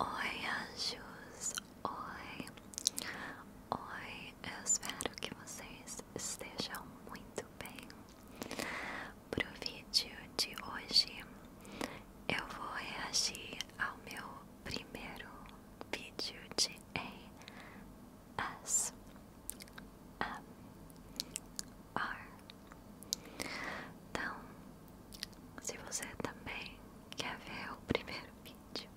Oi, anjos! Oi! Oi, eu espero que vocês estejam muito bem. Pro vídeo de hoje, eu vou reagir ao meu primeiro vídeo de ASMR. Então, se você também quer ver o primeiro vídeo,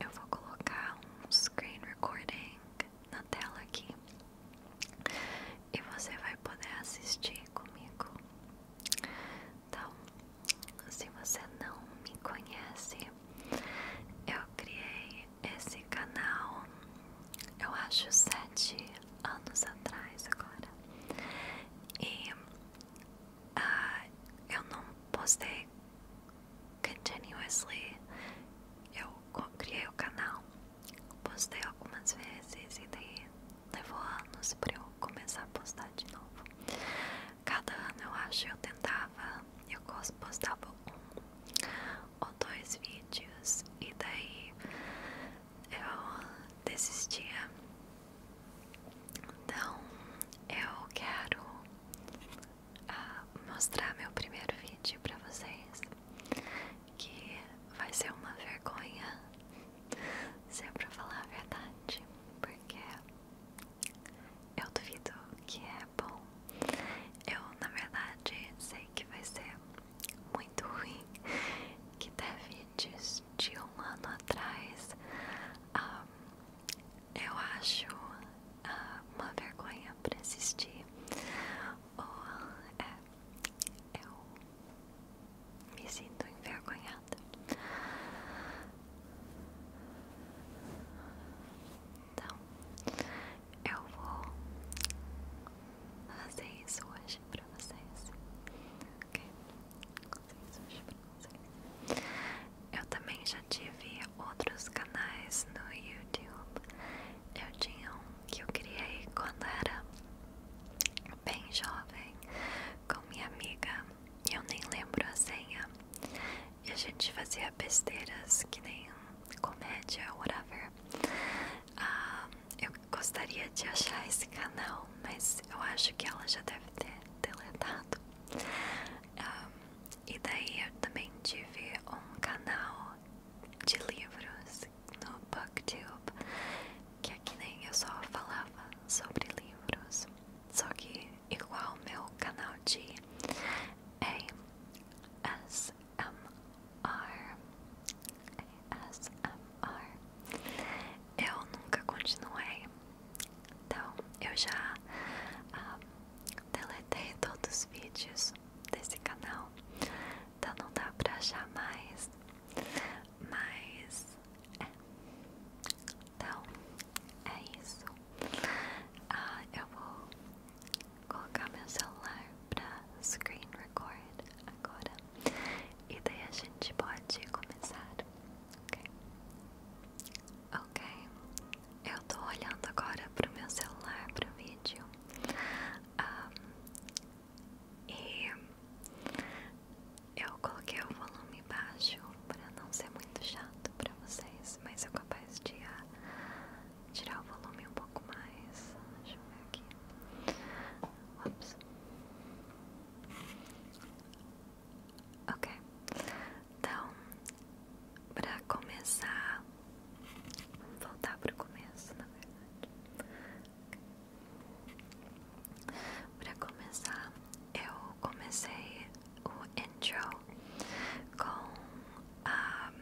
eu vou colocar um screen recording na tela aqui e você vai poder assistir comigo. Então, se você não me conhece, eu criei esse canal eu acho, sete anos atrás agora. E ah, eu não postei continuously. Eu criei o canal, postei algumas vezes e daí levou anos pra eu começar a postar de novo. Cada ano eu acho eu tentava, eu postava um ou dois vídeos e daí eu desistia. Então eu quero ah, mostrar meu primeiro vídeo para vocês, que vai ser uma vergonha, se é para falar a verdade, porque eu duvido que é bom. Eu na verdade sei que vai ser muito ruim que teve de, um ano atrás. Um, ah, eu acho ah, uma vergonha para assistir. Ou, é, eu me sinto envergonhada. Então, eu vou fazer isso hoje pra vocês. Ok? Fazer isso hoje pra vocês. Eu também já tive outros canais no YouTube. Eu tinha um que eu criei quando era bem jovem com minha amiga. E eu nem lembro a senha. E a gente fazia besteiras que nem comédia, whatever. Ah, eu gostaria de achar esse canal, mas eu acho que ela já deve ter deletado. Ah, e daí eu também tive um canal de livros no Booktube, que é que nem eu só falava sobre livros, só que igual meu canal de ASMR. ASMR. ASMR. Eu nunca continuei. Então, eu já ah, deletei todos os vídeos desse canal. Então, não dá pra achar mais. Mas, é. Então, é isso. Ah, eu vou colocar meu celular pra screen record agora e daí a gente pode começar, ok? Ok, eu tô olhando agora pro meu celular, pro vídeo e eu coloquei o volume baixo pra não ser muito chato pra vocês, mas eu capaz de a, tirar o volume um pouco mais. Deixa eu ver aqui. Ops. Ok. Então, para começar, vamos voltar para o começo, na verdade. Okay. Para começar, eu comecei o intro com a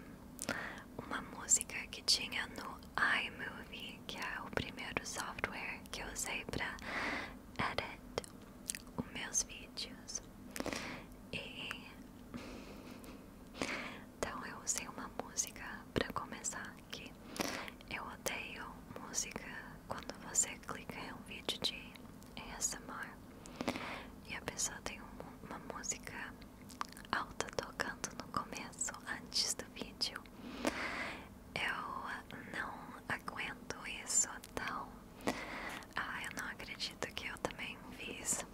uma música que tinha no iMovie, que é o primeiro software que eu usei para editar os meus vídeos. E então eu usei uma música para começar aqui. Eu odeio música quando você clica em um vídeo de ASMR e a pessoa tem uma música alta tocando no começo, antes do vídeo. Eu não aguento isso, então. Ah, eu não acredito que eu também vi isso.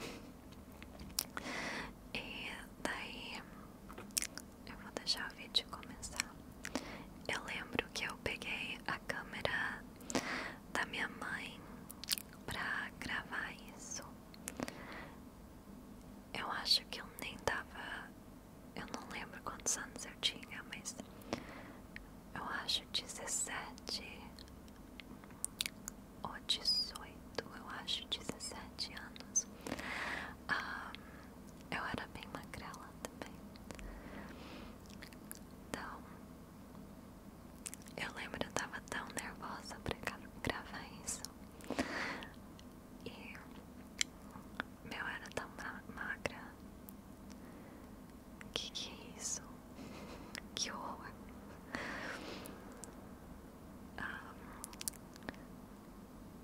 E daí eu vou deixar o vídeo começar. Eu lembro que eu peguei a câmera da minha mãe pra gravar isso. Eu acho que eu nem tava. Eu não lembro quantos anos eu tinha, mas eu acho 17 ou 18, eu acho 17 anos. Ah, eu era bem magrela também. Então, eu lembro, eu tava tão nervosa pra gravar isso. E meu era tão magra. Que que é isso? Que horror! Ah,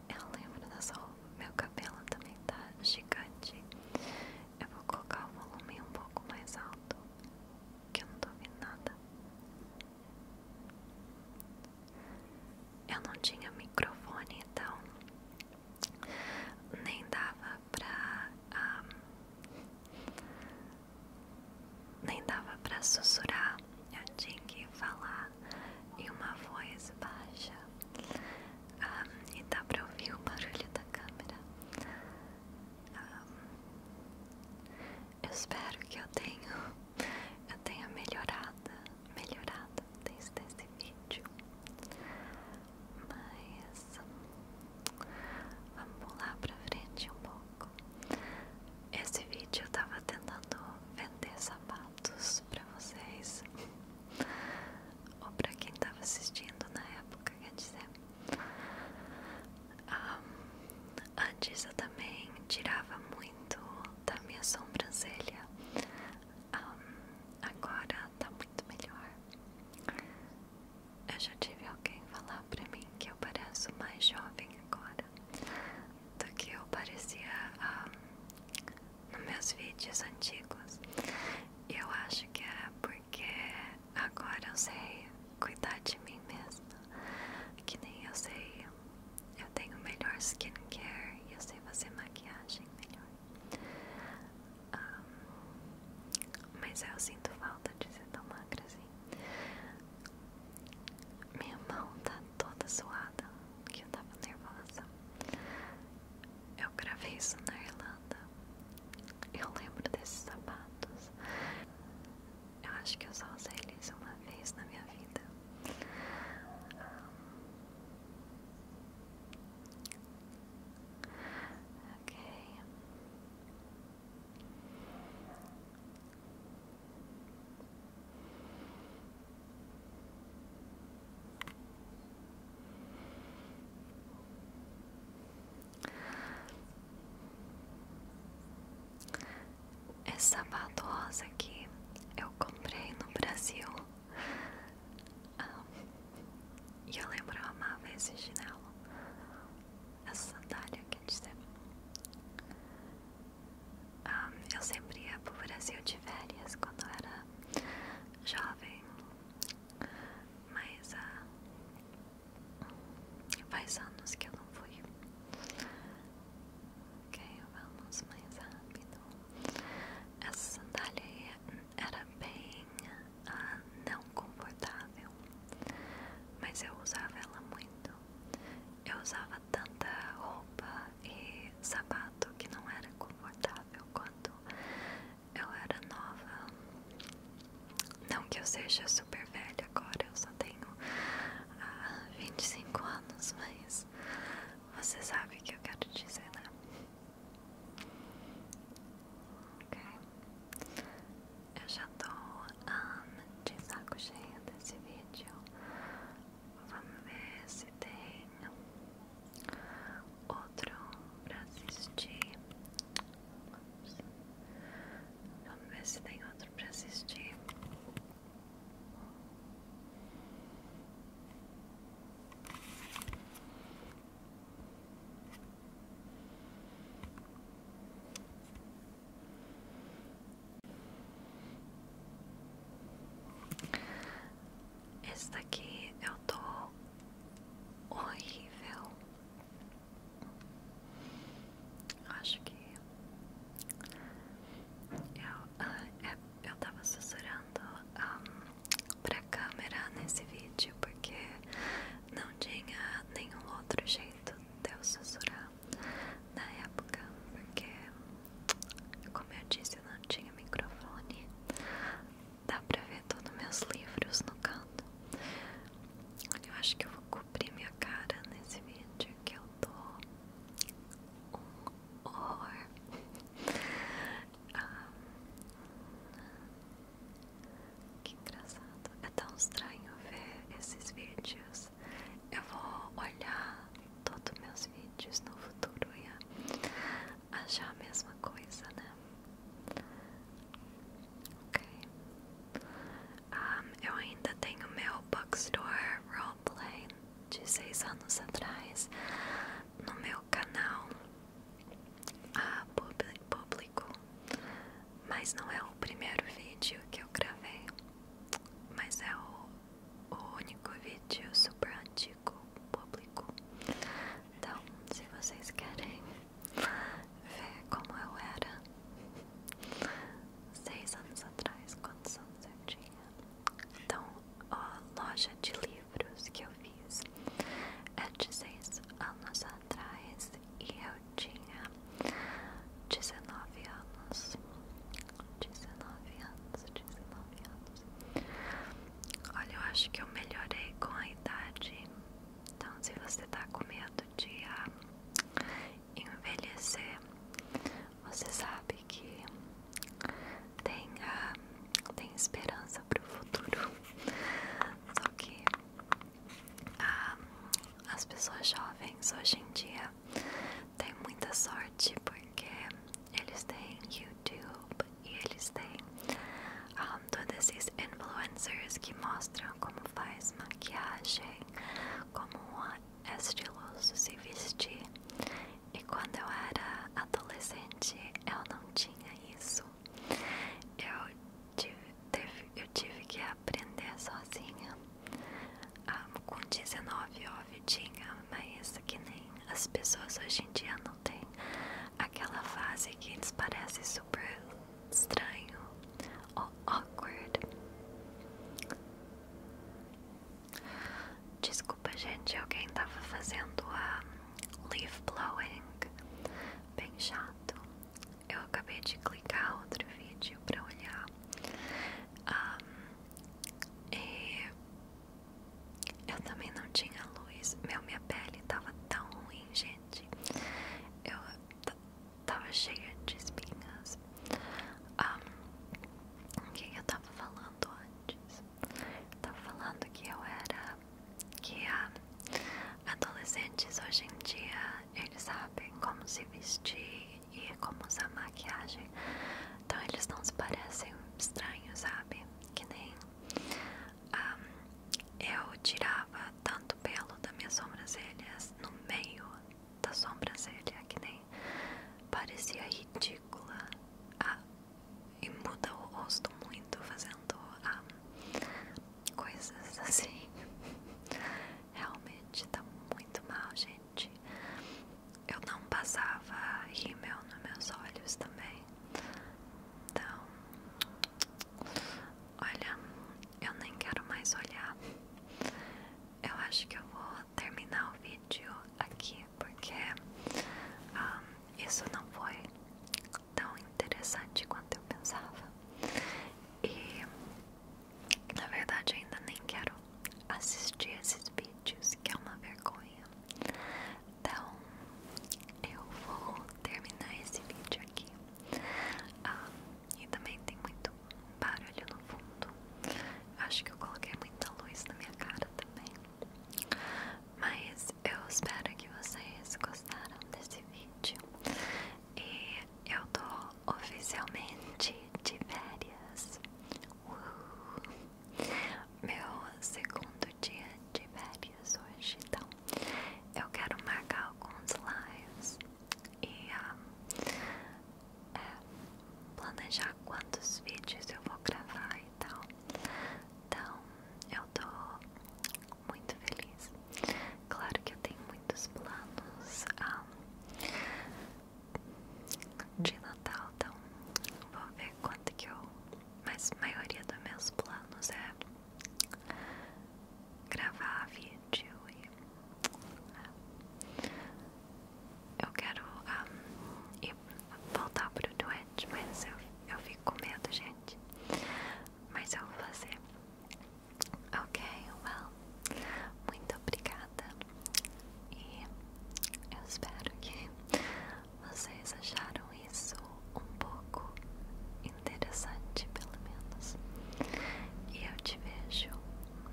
eu lembro dessa roupa. Meu cabelo também tá gigante. Eu vou colocar o volume um pouco mais alto que eu não tô ouvindo nada. Eu não tinha microfone, então nem dava pra. Ah, nem dava pra sussurrar. Eu tinha que falar em uma voz baixa. Ah, e dá pra ouvir o barulho da câmera. Ah, eu espero que eu tenha melhorado, melhorado desde esse vídeo. Mas vamos pular pra frente um pouco. Esse vídeo eu tava tentando vender sapatos pra vocês. Ou pra quem tava assistindo na época, quer dizer. Ah, antes eu também tirava muito da minha sobrancelha, um, ah, agora tá muito melhor. Eu já tive alguém falar pra mim que eu pareço mais jovem agora do que eu parecia um, ah, nos meus vídeos antigos. Eu acho que era é porque agora eu sei cuidar de mim mesma. Que nem eu sei, eu tenho melhor skincare e eu sei fazer maquiagem melhor. mas eu sinto falta de ser tão magra assim. Minha mão tá toda suada, que eu tava nervosa. Eu gravei isso na Irlanda eu lembro desses sapatos. Eu acho que eu só usei eles uma vez na minha vida. ok. Essa badosa aqui eu comprei no Brasil ah, e eu lembro eu amava esse chinelo, essa sandália quer dizer. Ah, eu sempre ia pro Brasil de férias quando eu era jovem mas há ah, faz anos que eu não fui. Ok, vamos mais rápido. Essa sandália era bem ah, não confortável, mas eu usava ela muito. Eu usava tanta roupa e sapato que não era confortável quanto eu era nova. Não que eu seja super velha agora, eu só tenho ah, 25 anos, mas você sabe o que eu quero dizer, né? Ok. Eu já tô um, ah, de saco cheio desse vídeo. Vamos ver se tem outro pra assistir. Vamos. ver se tem outro pra assistir. Esse daqui eu tô horrível. Acho que eu, uh, eu tava sussurrando para a câmera nesse vídeo porque não tinha nenhum outro jeito de eu sussurrar na época, porque, como eu disse, eu não tinha microfone dá pra ver todos meus livros no canto. Eu acho que eu vou cobrir minha cara nesse vídeo que eu tô um horror. Ah, que engraçado. É tão estranho ver esses vídeos. Eu vou olhar todos meus vídeos no futuro. Yeah achar a mesma coisa, né? Ok. Um, ah, eu ainda tenho meu box bookstore roleplay de seis anos atrás no meu canal ah, público, mas não é o primeiro vídeo que eu gravei, mas é o único vídeo super antigo ficou público. Então, se vocês querem ver como eu era seis anos atrás, quantos anos eu tinha, então a loja de livros que eu fiz é de seis anos atrás e eu tinha 19 anos. 19 anos, 19 anos. Olha, eu acho que eu melhorei com a idade. Então, se você tá com medo de ah, envelhecer, você sabe que tem, ah, tem esperança pro futuro. Só que ah, as pessoas jovens hoje em dia têm muita sorte porque eles têm YouTube e eles têm ah, todos esses influencers que mostram como faz maquiagem, como é estiloso se vestir. E quando eu era adolescente eu não tinha isso. Eu tive, teve, eu tive que aprender sozinha. Ah, com 19 óbvio tinha, mas que nem as pessoas hoje em dia não têm aquela fase que eles parecem super estranho ou awkward. Desculpa, gente, alguém tava fazendo a leaf blowing bem chato. Eu acabei de clicar outro vídeo pra olhar. Eu também não tinha luz. Meu, minha pele tava tão ruim, gente. Eu tava cheia de espinhas. Um, o que eu tava falando antes? Eu tava falando que eu era. Que adolescentes hoje em dia eles sabem como se vestir e como usar maquiagem. Então eles não se parecem estranhos a que nem ah, eu tirava tanto pelo das minhas sobrancelhas no meio da sobrancelha, que nem parecia ridícula. Ah, e muda o rosto muito fazendo ah, coisas assim. Realmente tá muito mal, gente eu não passava rímel nos meus olhos também. Então, olha, eu nem quero mais olhar. Eu acho que eu vou terminar o vídeo aqui porque ah, isso não foi tão interessante quanto eu pensava. E na verdade, ainda nem quero assistir esses vídeos que é uma vergonha. Então, eu vou terminar esse vídeo aqui. Ah, e também tem muito barulho no fundo. Acho que eu coloquei muita luz na minha cara também. Mas eu espero que vocês gostaram desse vídeo. E eu tô oficialmente de férias. Meu segundo dia de férias hoje, então eu quero marcar alguns lives e ah, é, planejar quantos vídeos eu vou gravar e tal. Então eu tô muito feliz. Claro que eu tenho muitos planos. Ah, de Natal, então vou ver quanto que eu. Mas a maioria dos meus planos é gravar vídeo e. É. Eu quero ir, ah, voltar pro Twitch, mas eu, eu fico com medo, gente. Mas eu vou fazer. Ok, well, muito obrigada e eu espero que vocês acharam isso um pouco interessante, pelo menos. E eu te vejo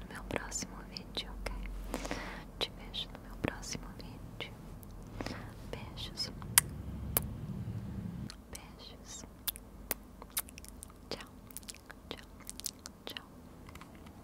no meu próximo vídeo, ok? Te vejo no meu próximo vídeo. Beijos. Beijos. Tchau. Tchau. Tchau.